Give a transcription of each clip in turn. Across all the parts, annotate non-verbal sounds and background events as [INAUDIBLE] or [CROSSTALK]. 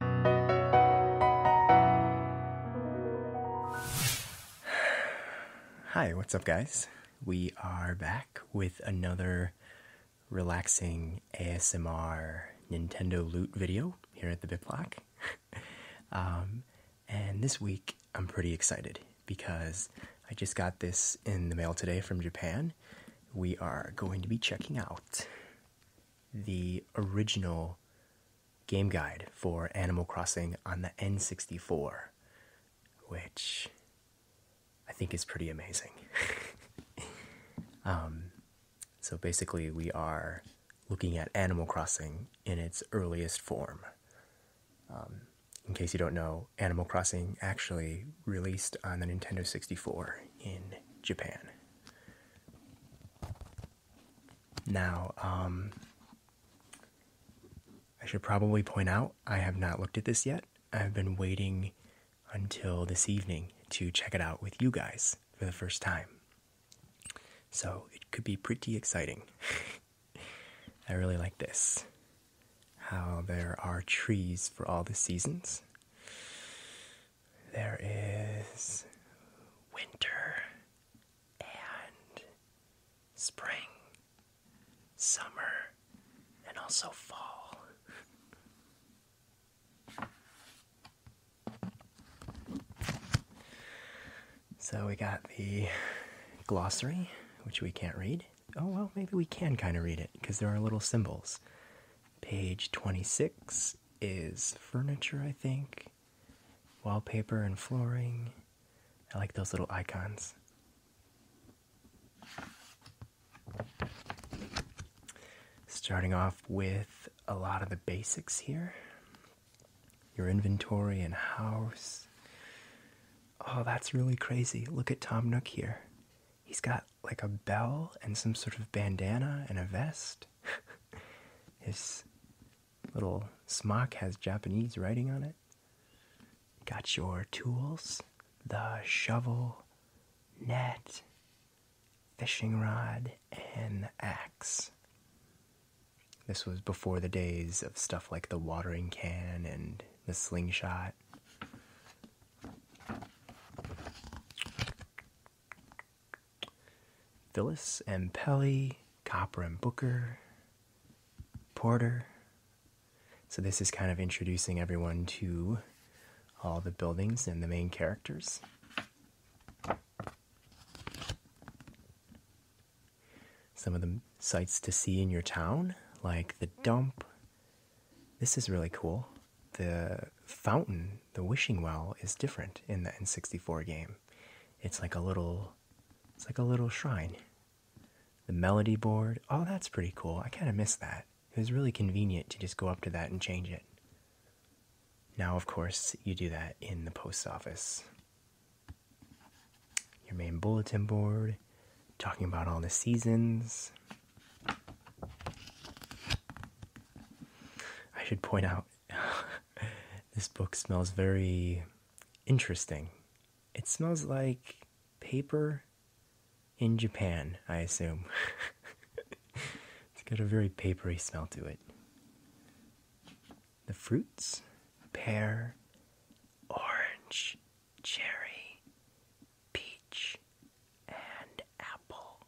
Hi, what's up, guys? We are back with another relaxing ASMR Nintendo loot video here at the BitBlock. Block. [LAUGHS] Um, and this week, I'm pretty excited because I just got this in the mail today from Japan. We are going to be checking out the original game guide for Animal Crossing on the N64, which I think is pretty amazing. [LAUGHS] Um, so basically, we are looking at Animal Crossing in its earliest form. Um, in case you don't know, Animal Crossing actually released on the Nintendo 64 in Japan. Now, um, I should probably point out I have not looked at this yet. I've been waiting until this evening to check it out with you guys for the first time. So it could be pretty exciting. [LAUGHS] I really like this. How there are trees for all the seasons. There is winter and spring, summer, and also fall. So we got the glossary, which we can't read. Oh, well, maybe we can kind of read it because there are little symbols. Page 26 is furniture, I think, wallpaper and flooring. I like those little icons. Starting off with a lot of the basics here your inventory and house. Oh, that's really crazy. Look at Tom Nook here. He's got like a bell and some sort of bandana and a vest shirt. His little smock has Japanese writing on it. Got your tools, the shovel, net, fishing rod, and axe. This was before the days of stuff like the watering can and the slingshot. Phyllis and Pelly, Copper and Booker, Porter. So, this is kind of introducing everyone to all the buildings and the main characters. Some of the sights to see in your town, like the dump. This is really cool. The fountain the wishing well is different in the N64 game. It's like a little it's like a little shrine. The melody board, oh that's pretty cool. I kind of miss that. It was really convenient to just go up to that and change it. Now, of course, you do that in the post office. Your main bulletin board, talking about all the seasons. I should point out [LAUGHS] this book smells very interesting. It smells like paper in Japan, I assume. [LAUGHS] it's got a very papery smell to it. The fruits pear, orange, cherry, peach, and apple.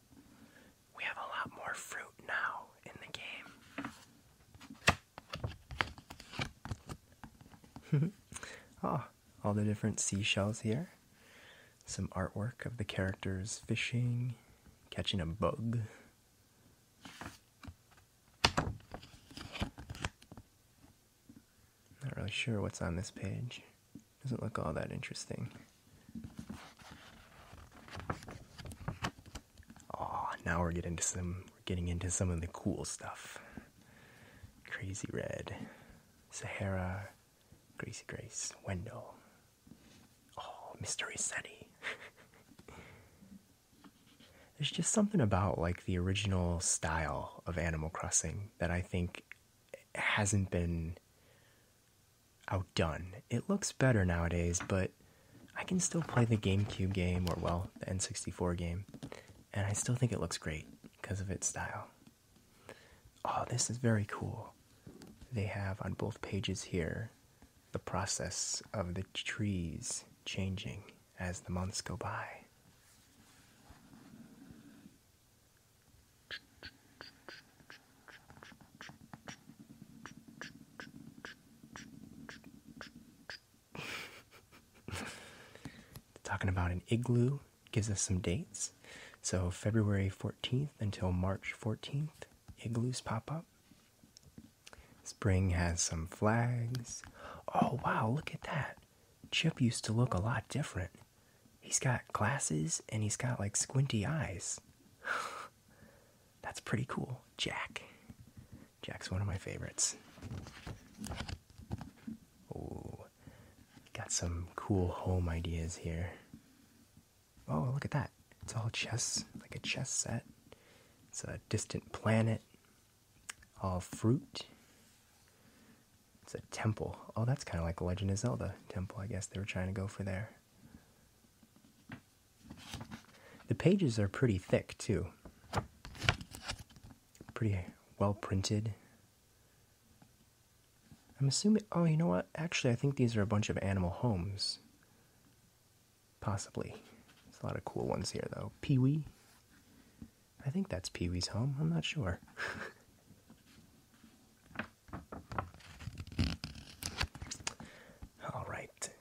We have a lot more fruit now in the game. oh, [LAUGHS] all the different seashells here. Some artwork of the characters fishing, catching a bug. Not really sure what's on this page. Doesn't look all that interesting. Oh, now we're getting into some we're getting into some of the cool stuff. Crazy Red, Sahara, Gracie Grace, Wendell. Oh, Mystery Seti. [LAUGHS] There's just something about like the original style of Animal Crossing that I think hasn't been outdone. It looks better nowadays, but I can still play the GameCube game or, well, the N64 game, and I still think it looks great because of its style. Oh, this is very cool. They have on both pages here the process of the trees changing as the months go by. [LAUGHS] Talking about an igloo gives us some dates. So, February 14th until March 14th, igloos pop up. Spring has some flags. Oh, wow, look at that. Chip used to look a lot different. He's got glasses and he's got like squinty eyes. That's pretty cool. Jack. Jack's one of my favorites. Oh, got some cool home ideas here. Oh, look at that. It's all chess, like a chess set. It's a distant planet. All fruit. It's a temple. Oh, that's kind of like Legend of Zelda temple. I guess they were trying to go for there. The pages are pretty thick, too. Pretty well printed. I'm assuming. Oh, you know what? Actually, I think these are a bunch of animal homes. Possibly. There's a lot of cool ones here, though. Pee Wee. I think that's Pee Wee's home. I'm not sure. [LAUGHS] All right. [GASPS]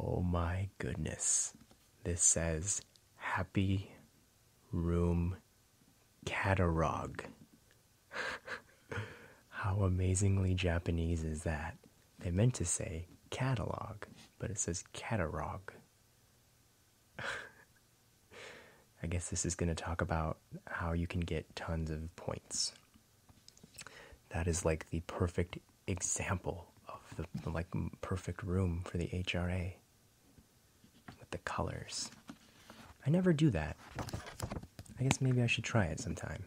Oh my goodness. This says Happy Room Catalog. [LAUGHS] How amazingly Japanese is that? They meant to say catalog, but it says catalog. [LAUGHS] I guess this is going to talk about how you can get tons of points. That is like the perfect example of the like perfect room for the HRA with the colors. I never do that. I guess maybe I should try it sometime.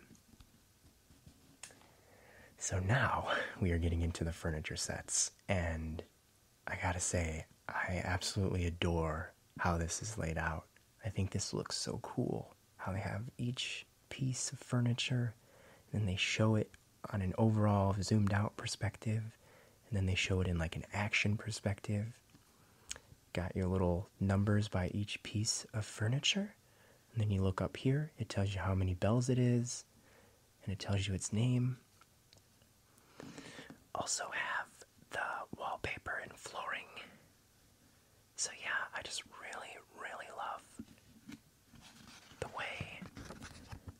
So now we are getting into the furniture sets, and I gotta say, I absolutely adore how this is laid out. I think this looks so cool how they have each piece of furniture and they show it on an overall zoomed out perspective and then they show it in like an action perspective. Got your little numbers by each piece of furniture. And then you look up here, it tells you how many bells it is and it tells you its name. Also have the wallpaper and flooring so yeah, I just really, really love the way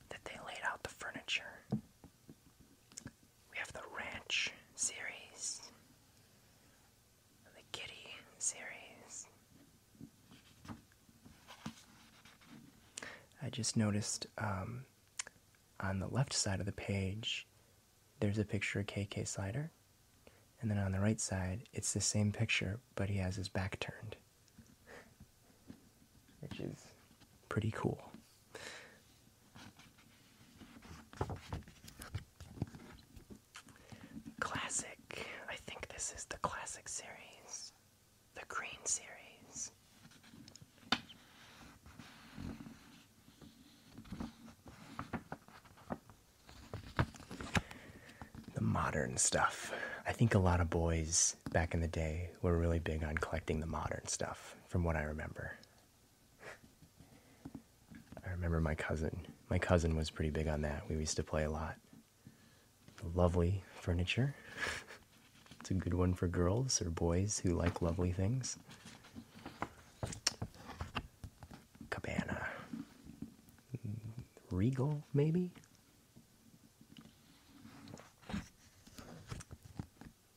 that they laid out the furniture. We have the Ranch series, the Kitty series. I just noticed um, on the left side of the page there's a picture of KK Slider. And then on the right side, it's the same picture, but he has his back turned, which is pretty cool. Classic. I think this is the classic series, the green series. The modern stuff. I think a lot of boys back in the day were really big on collecting the modern stuff, from what I remember. I remember my cousin. My cousin was pretty big on that. We used to play a lot. Lovely furniture. [LAUGHS] it's a good one for girls or boys who like lovely things. Cabana. Regal, maybe?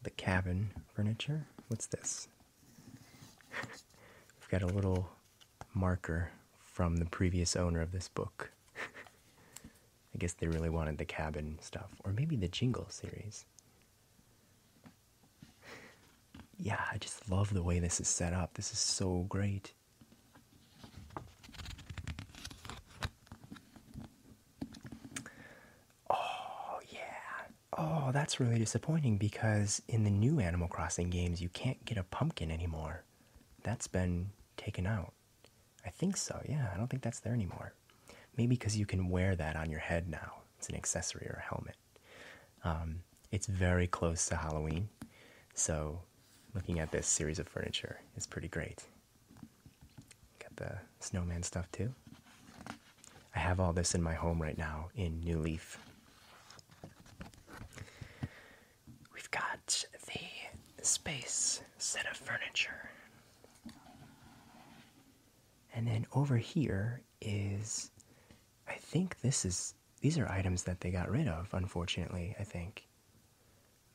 The cabin furniture. What's this? [LAUGHS] We've got a little marker from the previous owner of this book. [LAUGHS] I guess they really wanted the cabin stuff, or maybe the jingle series. Yeah, I just love the way this is set up. This is so great. Oh, yeah. Oh, that's really disappointing because in the new Animal Crossing games, you can't get a pumpkin anymore. That's been taken out. I think so, yeah. I don't think that's there anymore. Maybe because you can wear that on your head now. It's an accessory or a helmet. Um, it's very close to Halloween, so looking at this series of furniture is pretty great. Got the snowman stuff too. I have all this in my home right now in New Leaf. We've got the space set of furniture. And then over here is I think this is these are items that they got rid of, unfortunately, I think.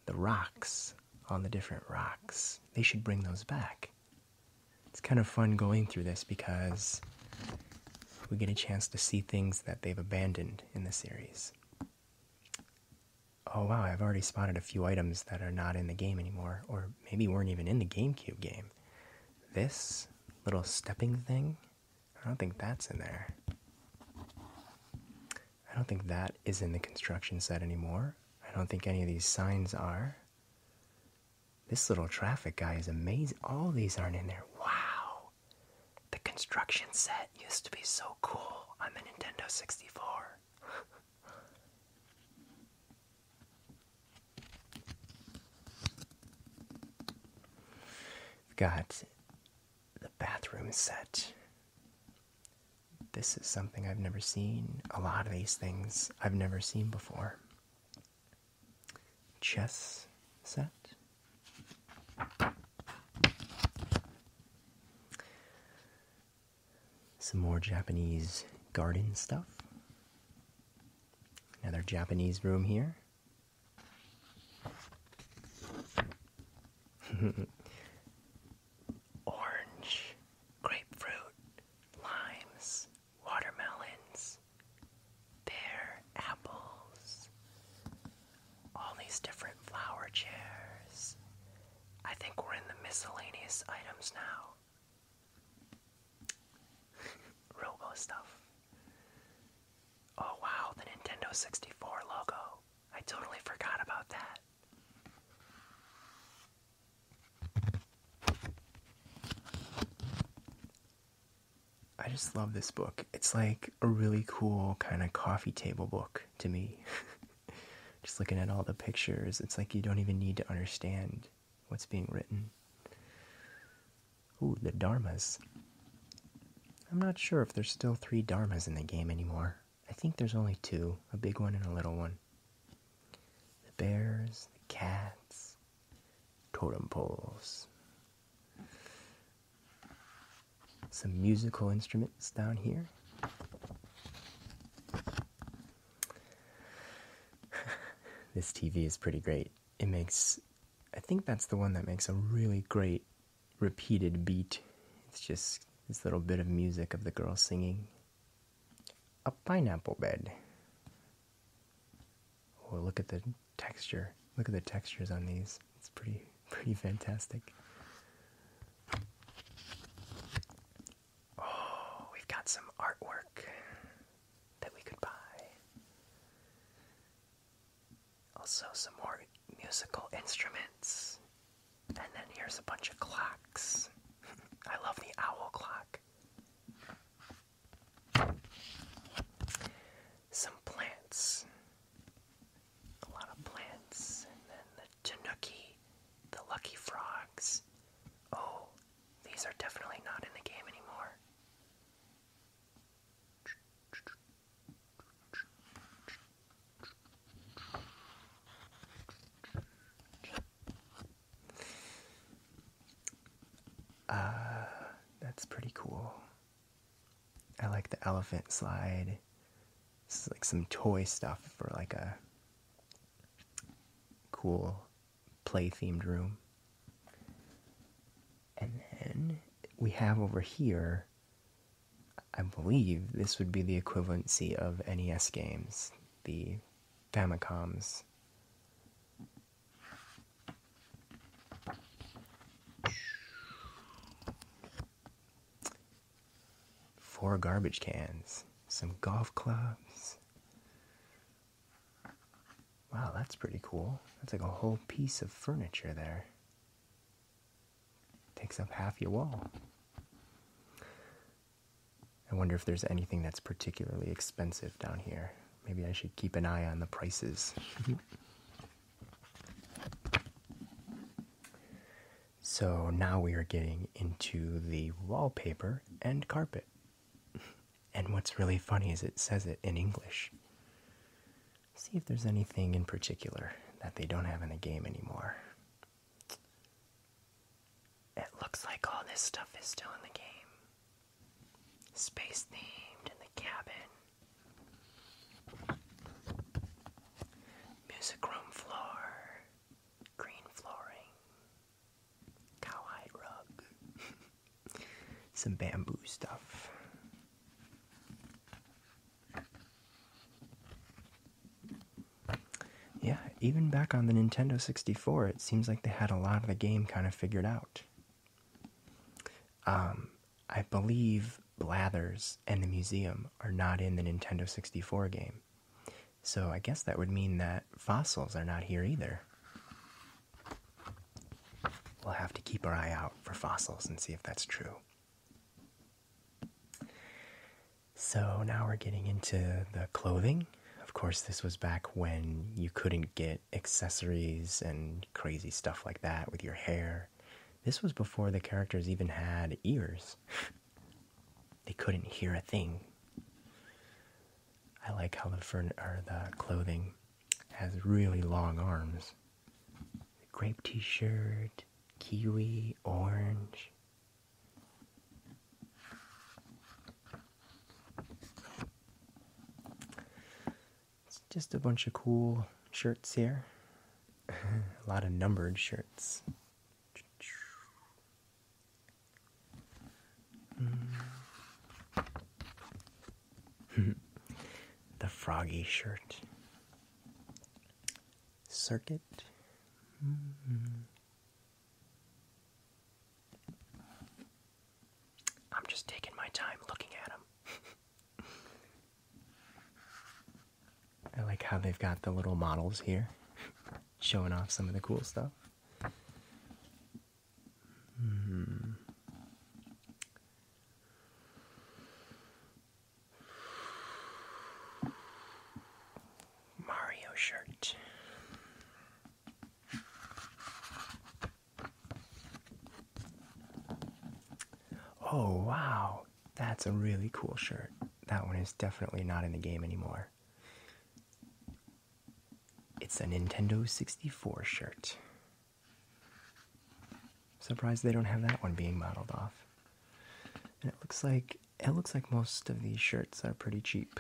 The rocks on the different rocks. They should bring those back. It's kind of fun going through this because we get a chance to see things that they've abandoned in the series. Oh wow, I've already spotted a few items that are not in the game anymore, or maybe weren't even in the GameCube game. This little stepping thing. I don't think that's in there. I don't think that is in the construction set anymore. I don't think any of these signs are. This little traffic guy is amazing. All these aren't in there. Wow. The construction set used to be so cool on the Nintendo 64. [LAUGHS] We've got the bathroom set. This is something I've never seen. A lot of these things I've never seen before. Chess set. Some more Japanese garden stuff. Another Japanese room here. [LAUGHS] Orange, grapefruit, limes, watermelons, pear, apples, all these different flower chairs. I think we're in the miscellaneous items now. Robo stuff. Oh wow, the Nintendo 64 logo. I totally forgot about that. I just love this book. It's like a really cool kind of coffee table book to me. [LAUGHS] just looking at all the pictures, it's like you don't even need to understand what's being written. Ooh, the Dharmas. I'm not sure if there's still three Dharmas in the game anymore. I think there's only two a big one and a little one. The bears, the cats, totem poles. Some musical instruments down here. [LAUGHS] this TV is pretty great it makes I think that's the one that makes a really great repeated beat. It's just this little bit of music of the girl singing. A pineapple bed. Oh, look at the texture. Look at the textures on these. It's pretty [LAUGHS] pretty fantastic. Oh, we've got some artwork that we could buy. Also, some more musical instruments. And then here's a bunch of clocks. [LAUGHS] I love the owl clock. Some plants. A lot of plants. And then the tanuki, the lucky frogs. Oh, these are definitely not in the game anymore. Uh, that's pretty cool. I like the elephant slide. This is like some toy stuff for like a cool play themed room. And then we have over here, I believe this would be the equivalency of NES games, the Famicoms. Four garbage cans, some golf clubs, Wow, that's pretty cool. That's like a whole piece of furniture there. Takes up half your wall. I wonder if there's anything that's particularly expensive down here. Maybe I should keep an eye on the prices. [LAUGHS] so now we are getting into the wallpaper and carpet. And what's really funny is it says it in English. See if there's anything in particular that they don't have in the game anymore. It looks like all this stuff is still in the game. Space themed in the cabin. Music room floor. Green flooring cowhide rug, some bamboo stuff. Yeah, even back on the Nintendo 64, it seems like they had a lot of the game kind of figured out. Um, I believe Blathers and the museum are not in the Nintendo 64 game. So I guess that would mean that fossils are not here either. We'll have to keep our eye out for fossils and see if that's true. So now we're getting into the clothing. Of course, this was back when you couldn't get accessories and crazy stuff like that with your hair. This was before the characters even had ears. [LAUGHS] they couldn't hear a thing. I like how the furn the clothing has really long arms. Grape t shirt, kiwi, orange. It's just a bunch of cool shirts here. [LAUGHS] a lot of numbered shirts. Mm. [LAUGHS] the froggy shirt. Circuit. Mm-hmm. I'm just taking my time looking at them. [LAUGHS] I like how they've got the little models here showing off some of the cool stuff. Hmm. Mario shirt. Oh, wow. That's a really cool shirt. That one is definitely not in the game anymore. It's a Nintendo 64 shirt. Surprised they don't have that one being modeled off. And it looks like it looks like most of these shirts are pretty cheap.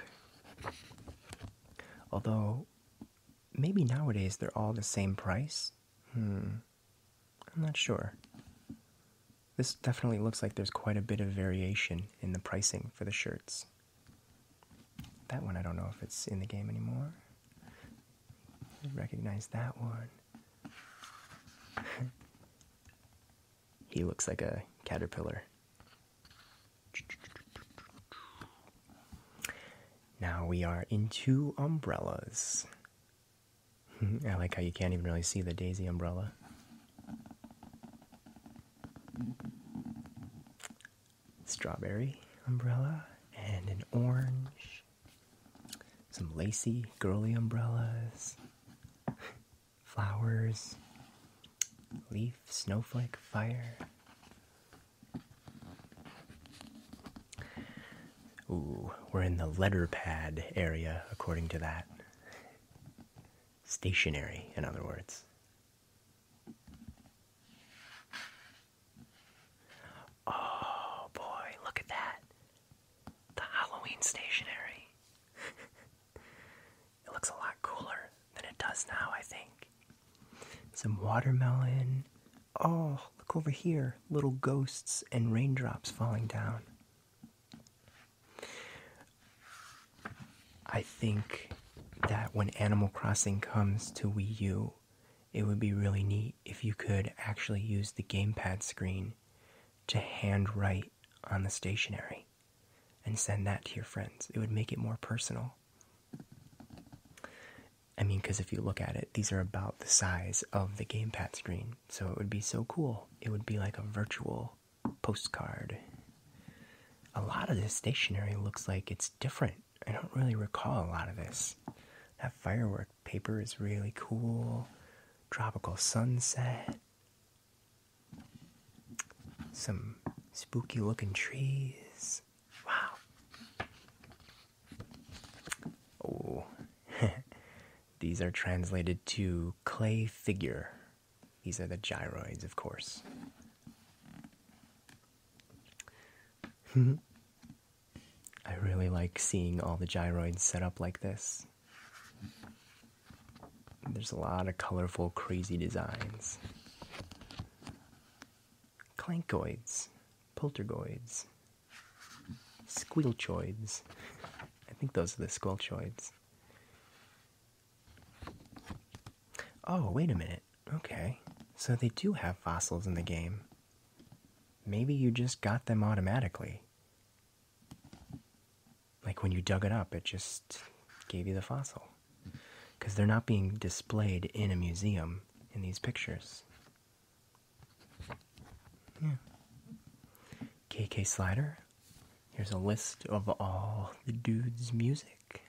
Although maybe nowadays they're all the same price. Hmm. I'm not sure. This definitely looks like there's quite a bit of variation in the pricing for the shirts. That one, I don't know if it's in the game anymore. I recognize that one. [LAUGHS] he looks like a caterpillar. Now we are into umbrellas. [LAUGHS] I like how you can't even really see the daisy umbrella strawberry umbrella and an orange, some lacy girly umbrellas, flowers, leaf, snowflake, fire. Ooh, we're in the letter pad area according to that. Stationary, in other words. Oh boy, look at that. The Halloween stationery. [LAUGHS] it looks a lot cooler than it does now, I think. Some watermelon. Oh, look over here. Little ghosts and raindrops falling down. I think that when Animal Crossing comes to Wii U, it would be really neat if you could actually use the gamepad screen to handwrite on the stationery and send that to your friends. It would make it more personal. I mean, because if you look at it, these are about the size of the gamepad screen, so it would be so cool. It would be like a virtual postcard. A lot of this stationery looks like it's different I don't really recall a lot of this. That firework paper is really cool. Tropical sunset. Some spooky looking trees. Wow. Oh, [LAUGHS] these are translated to clay figure. These are the gyroids, of course. [LAUGHS] I really like seeing all the gyroids set up like this. There's a lot of colorful, crazy designs. Clankoids, poltergoids, squelchoids. I think those are the squelchoids. Oh, wait a minute. Okay. So they do have fossils in the game. Maybe you just got them automatically. Like when you dug it up, it just gave you the fossil. Because they're not being displayed in a museum in these pictures. Yeah. KK Slider. Here's a list of all the dude's music.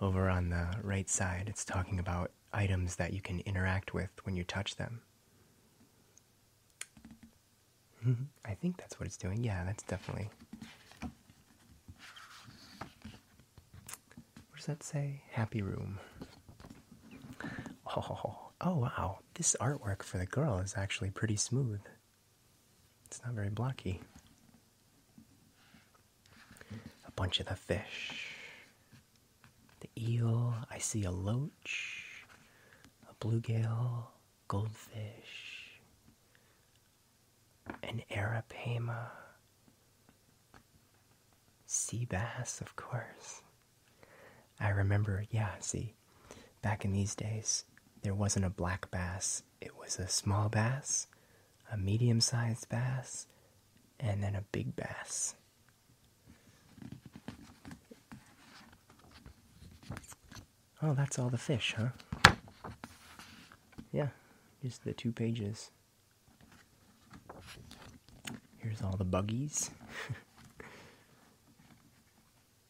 Over on the right side, it's talking about items that you can interact with when you touch them. Mm-hmm. I think that's what it's doing. Yeah, that's definitely. What does that say? Happy room. Oh, [LAUGHS] oh wow. This artwork for the girl is actually pretty smooth. It's not very blocky a bunch of the fish. The eel, I see a loach, a bluegill, goldfish, an arapaima, sea bass, of course. I remember, yeah, see, back in these days, there wasn't a black bass it was a small bass, a medium sized bass, and then a big bass. Oh, that's all the fish, huh? Yeah, just the two pages. Here's all the buggies. [LAUGHS]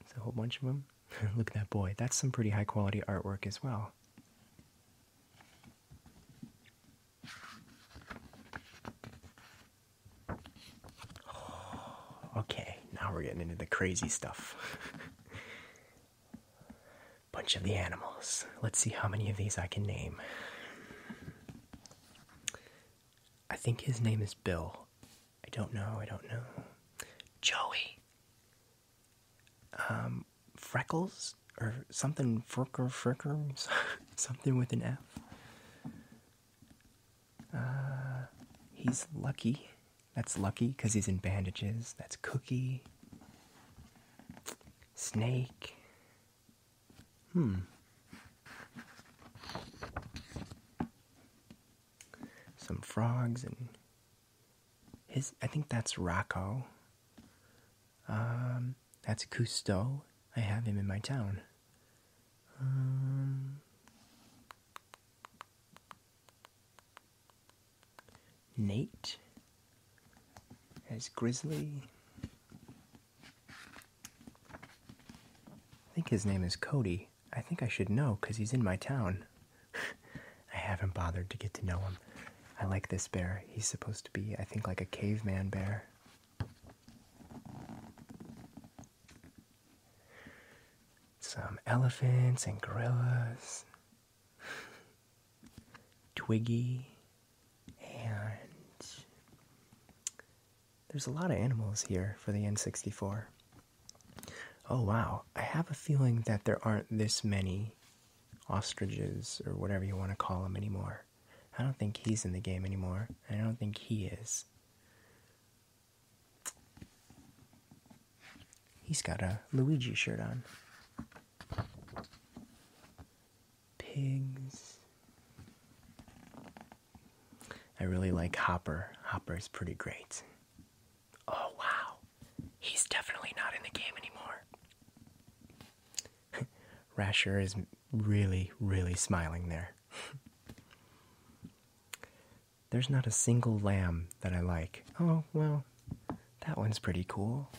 There's a whole bunch of them. [LAUGHS] Look at that boy. That's some pretty high quality artwork as well. [SIGHS] Okay, now we're getting into the crazy stuff. [LAUGHS] Bunch of the animals. Let's see how many of these I can name. I think his name is Bill. I don't know, I don't know. Joey. Um, freckles or something frick or fricker [LAUGHS] something with an F. Uh, he's lucky. That's lucky because he's in bandages. That's cookie. Snake. Hmm. Some frogs and his I think that's Rocco. Um, that's Cousteau. I have him in my town. Um, Nate as Grizzly. I think his name is Cody. I think I should know because he's in my town. [LAUGHS] I haven't bothered to get to know him. I like this bear. He's supposed to be, I think, like a caveman bear. Some elephants and gorillas. Twiggy. And there's a lot of animals here for the N64. Oh wow, I have a feeling that there aren't this many ostriches or whatever you want to call them anymore. I don't think he's in the game anymore. I don't think he is. He's got a Luigi shirt on. Pigs. I really like Hopper. Hopper is pretty great. Oh, wow he's definitely not in the game anymore. [LAUGHS] Rasher is really, really smiling there. [LAUGHS] There's not a single lamb that I like. Oh, well, that one's pretty cool.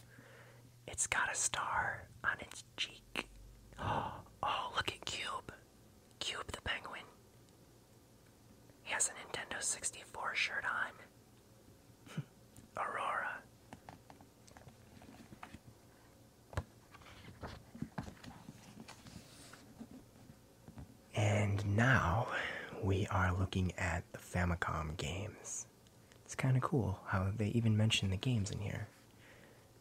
It's got a star on its cheek. Oh, [GASPS] oh, look at Cube. Cube the penguin. He has a Nintendo 64 shirt on. Aurora. And now we are looking at the Famicom games. It's kind of cool how they even mention the games in here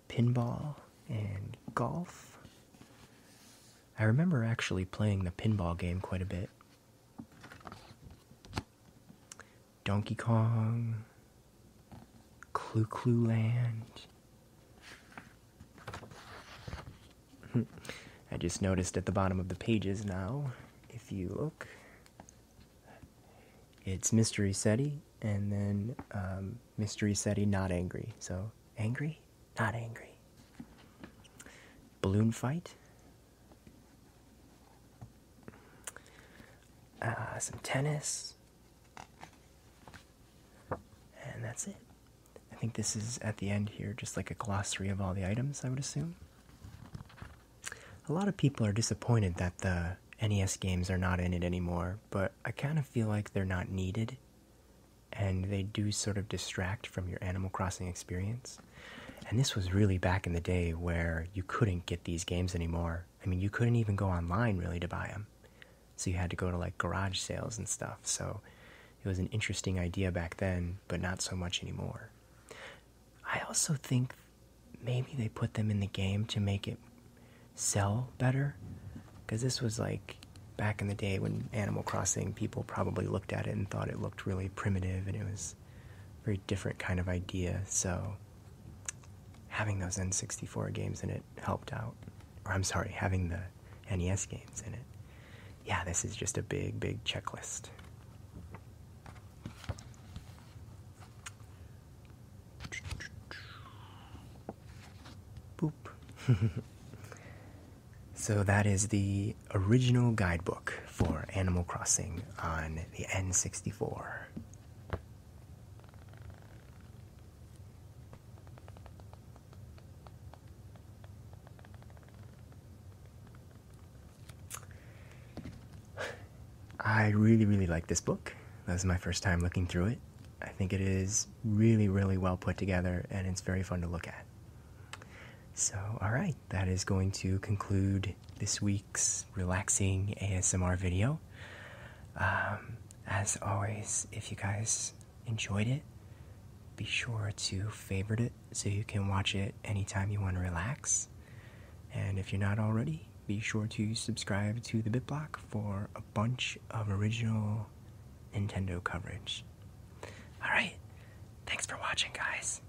pinball and golf. I remember actually playing the pinball game quite a bit. Donkey Kong, Clue Clue Land. [LAUGHS] I just noticed at the bottom of the pages now, if you look, it's Mystery SETI and then um, Mystery SETI Not Angry. So, angry, not angry. Balloon Fight, uh, some tennis, and that's it. I think this is at the end here, just like a glossary of all the items, I would assume. A lot of people are disappointed that the NES games are not in it anymore, but I kind of feel like they're not needed, and they do sort of distract from your Animal Crossing experience. And this was really back in the day where you couldn't get these games anymore. I mean, you couldn't even go online really to buy them. So you had to go to like garage sales and stuff. So it was an interesting idea back then, but not so much anymore. I also think maybe they put them in the game to make it sell better. Because this was like back in the day when Animal Crossing, people probably looked at it and thought it looked really primitive and it was very different kind of idea. So having those N64 games in it helped out. Or I'm sorry, having the NES games in it. Yeah, this is just a big, big checklist. Boop. [LAUGHS] so that is the original guidebook for Animal Crossing on the N64. I really, really like this book. That was my first time looking through it. I think it is really, really well put together and it's very fun to look at. So, all right that is going to conclude this week's relaxing ASMR video. Um, as always, if you guys enjoyed it, be sure to favorite it so you can watch it anytime you want to relax. And if you're not already, be sure to subscribe to the BitBlock for a bunch of original Nintendo coverage. Alright, thanks for watching, guys.